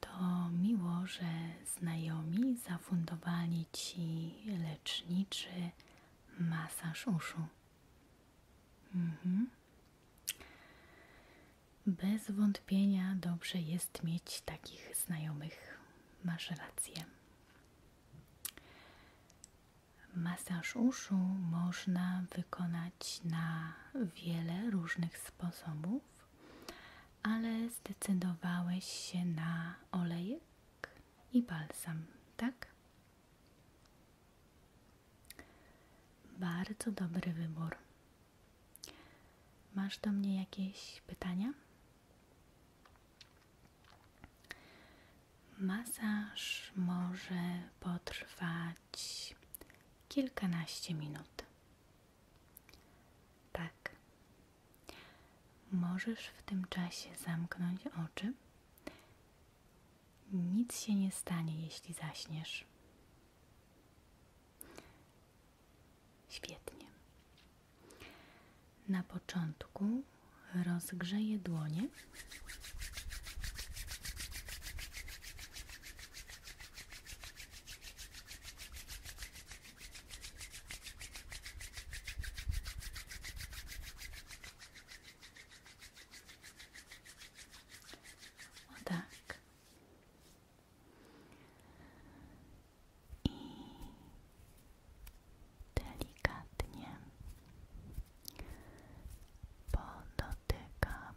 To miło, że znajomi zafundowali ci leczniczy masaż uszu. Mhm. Bez wątpienia dobrze jest mieć takich znajomych. Masz Masaż uszu można wykonać na wiele różnych sposobów ale zdecydowałeś się na olejek i balsam, tak? Bardzo dobry wybór. Masz do mnie jakieś pytania? Masaż może potrwać kilkanaście minut. Tak. Możesz w tym czasie zamknąć oczy. Nic się nie stanie, jeśli zaśniesz. Świetnie. Na początku rozgrzeję dłonie. O tak. I delikatnie podotykam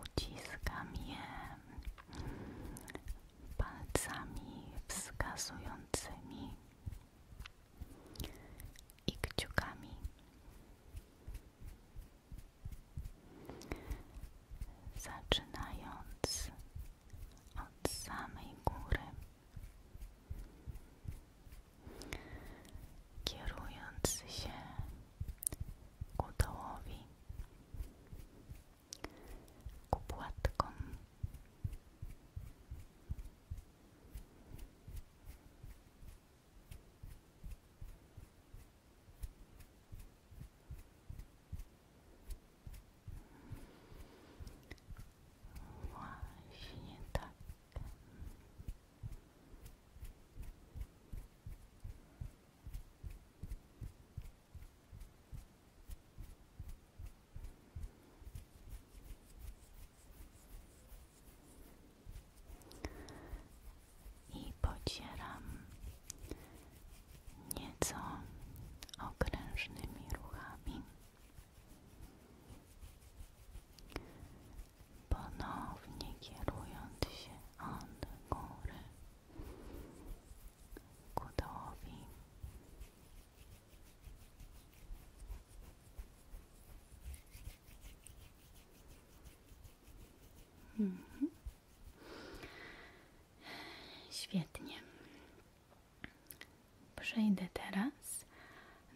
uciskam je palcami wskazującymi i kciukami. Zaczynając od samej góry, kierując się ku dołowi, ku płatkom. I pocieram nieco okrężnymi ruchami ponownie kierując się od góry ku mhm. Świetnie. Przejdę teraz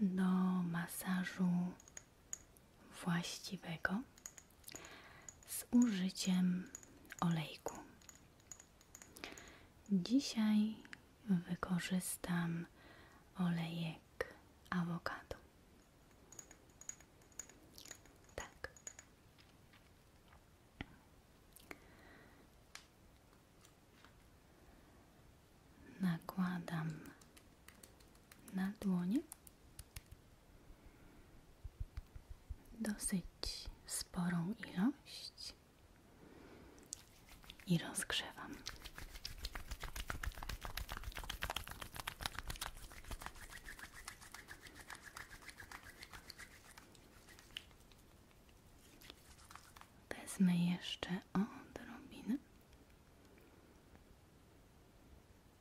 do masażu właściwego z użyciem olejku. Dzisiaj wykorzystam olejek awokado. Tak. Nakładam na dłonie dosyć sporą ilość i rozgrzewam. Wezmę jeszcze odrobinę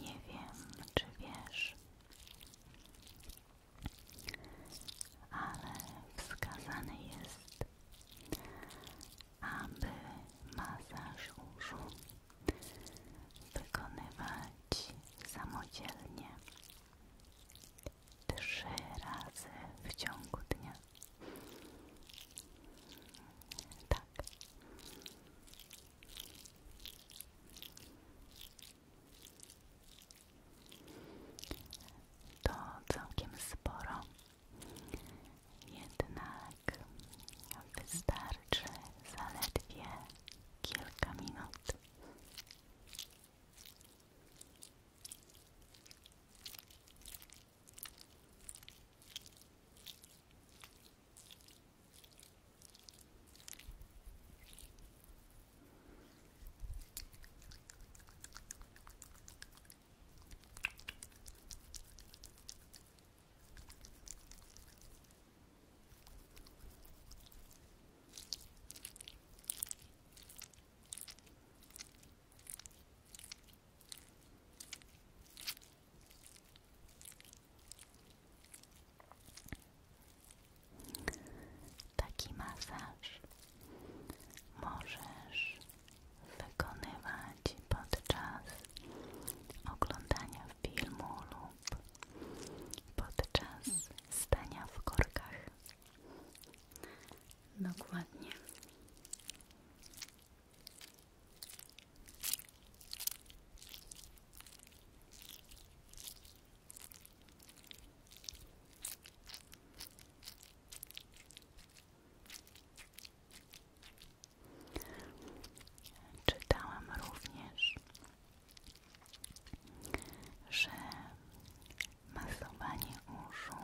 Nie wiem, czy wiesz, ale wskazany jest aby masaż uszu wykonywać samodzielnie trzy razy w ciągu dnia. Tak. To całkiem sporo. Jedna odcinek tak, wystarczy zaledwie kilka minut. Taki masaż możesz wykonywać podczas oglądania filmu lub podczas stania w korkach. Dokładnie. Czytałam również, że masowanie uszu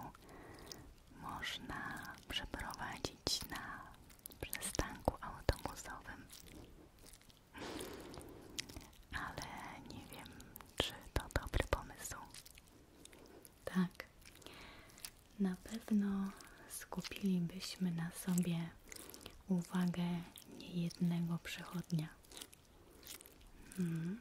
można przeprowadzić na przystanku autobusowym, ale nie wiem, czy to dobry pomysł. Tak, na pewno skupilibyśmy na sobie uwagę niejednego przechodnia. Hmm.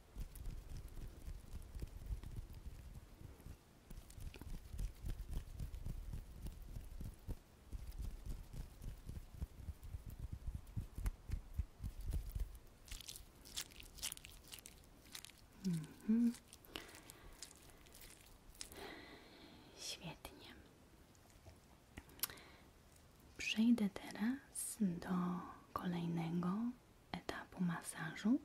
Mhm. Świetnie. Przejdę teraz do kolejnego etapu masażu,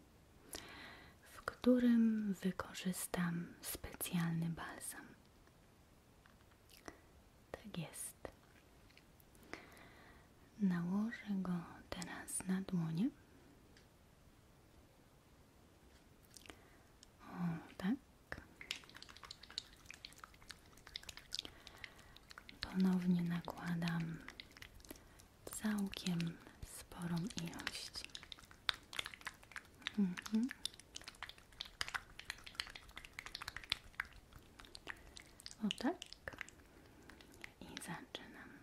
w którym wykorzystam specjalny balsam. Tak jest. Nałożę go teraz na dłonie. tak. Ponownie nakładam całkiem sporą ilość. Mhm. O tak. I zaczynam.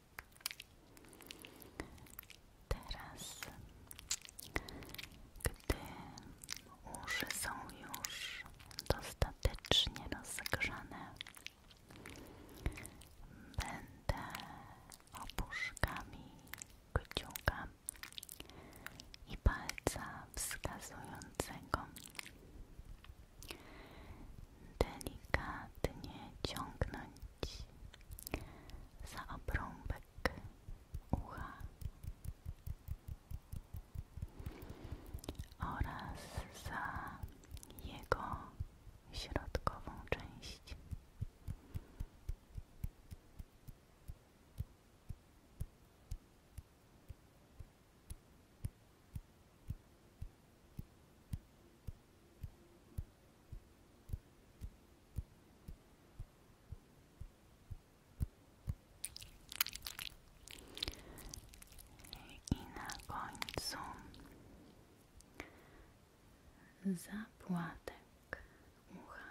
Teraz, gdy uszy są już dostatecznie rozgrzane, będę opuszkami kciuka i palca wskazującego delikatnie ciągnąć za obrąbek ucha oraz za jego środkową część. I na końcu zapłatek ucha.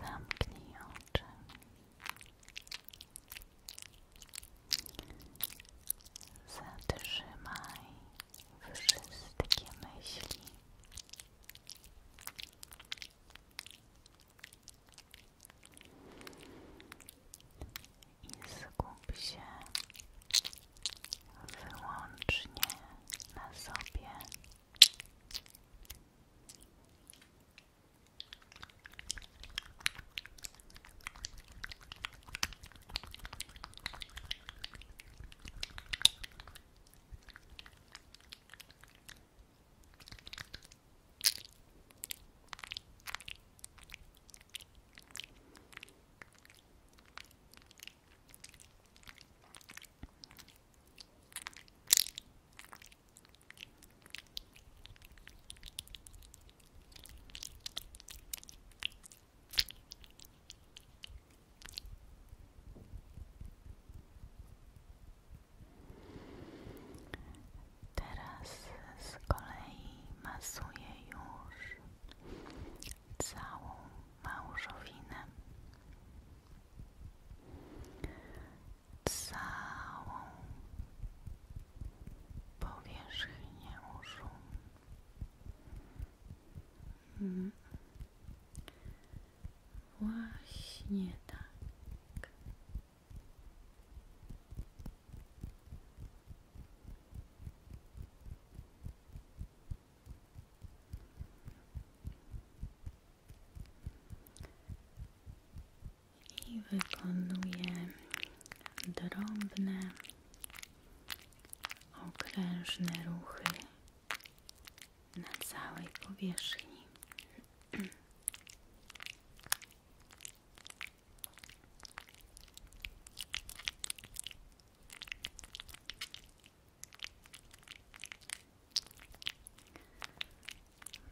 Zamknij oczy. Zatrzymaj wszystkie myśli i skup się wyłącznie na sobie. Teraz z kolei masuję już całą małżowinę, całą powierzchnię uszu. Mm. Właśnie tak. I wykonuję drobne, okrężne ruchy na całej powierzchni.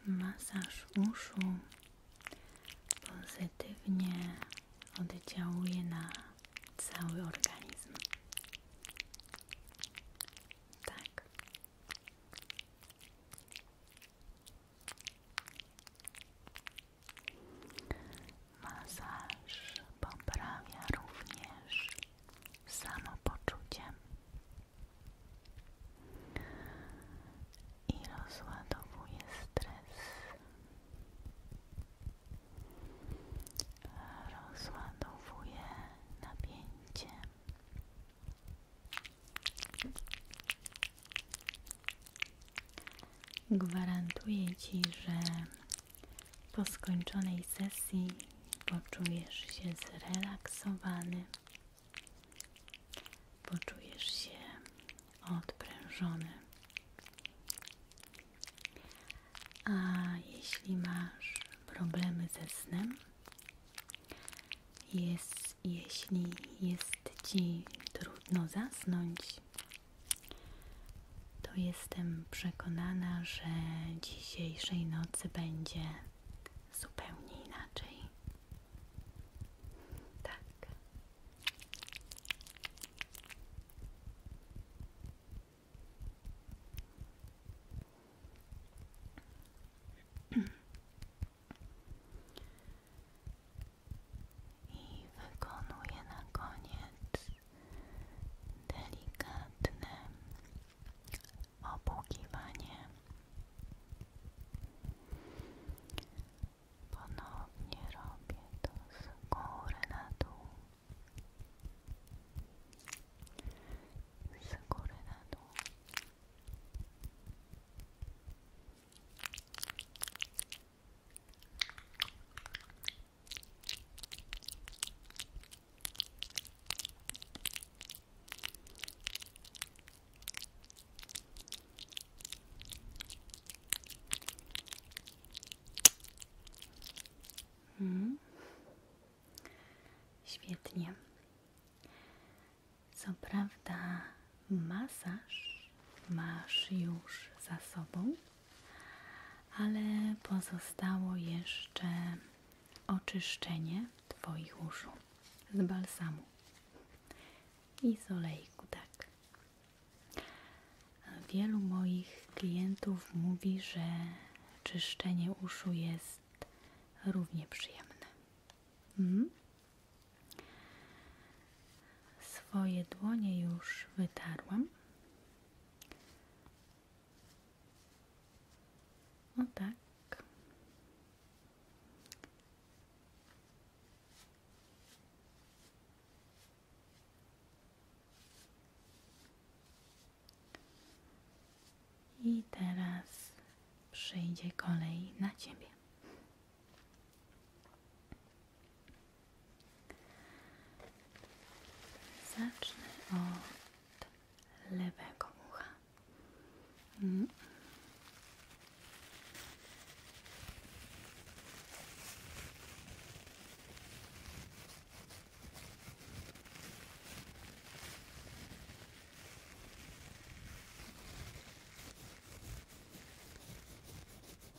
Masaż uszu pozytywnie oddziałuje na cały organizm. Tak. Masaż poprawia również samo poczucie i rozładowuje stres. Rozładowuje napięcie. Gwarantuję Ci, że po skończonej sesji poczujesz się zrelaksowany, poczujesz się odprężony. A jeśli masz problemy ze snem, jest, jeśli jest Ci trudno zasnąć, to jestem przekonana, że dzisiejszej nocy będzie zupełnie inaczej. Tak i wykonuje na koniec delikatne opłukiwanie. Ponownie robię to z góry na dół. Z Mm. Świetnie. Co prawda, masaż masz już za sobą, ale pozostało jeszcze oczyszczenie Twoich uszu z balsamu i z olejku, tak. Wielu moich klientów mówi, że czyszczenie uszu jest równie przyjemne. Mhm. Swoje dłonie już wytarłam. No tak. I teraz przyjdzie kolej na ciebie. Zacznę od lewego ucha. Mm.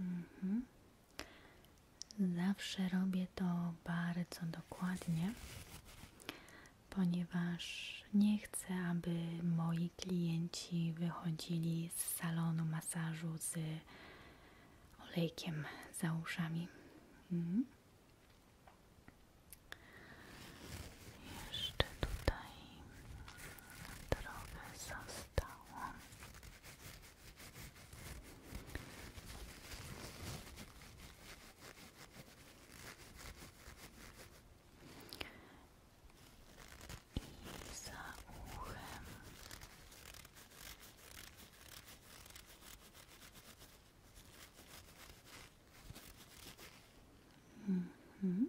Mhm. Zawsze robię to bardzo dokładnie, ponieważ nie chcę, aby moi klienci wychodzili z salonu masażu z olejkiem za uszami. Mhm. Jeszcze tutaj trochę zostało. I za uchem. Mhm.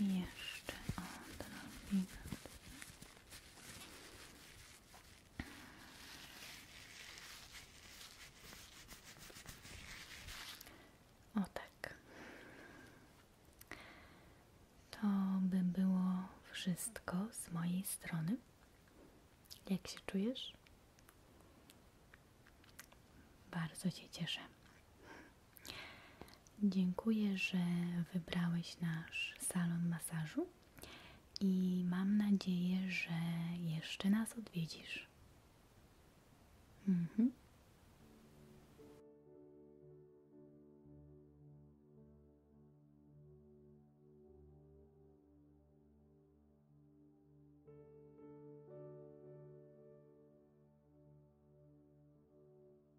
I jeszcze O tak. To by było wszystko z mojej strony. Jak się czujesz? Bardzo Cię cieszę. Dziękuję, że wybrałeś nasz salon masażu i mam nadzieję, że jeszcze nas odwiedzisz. Mhm.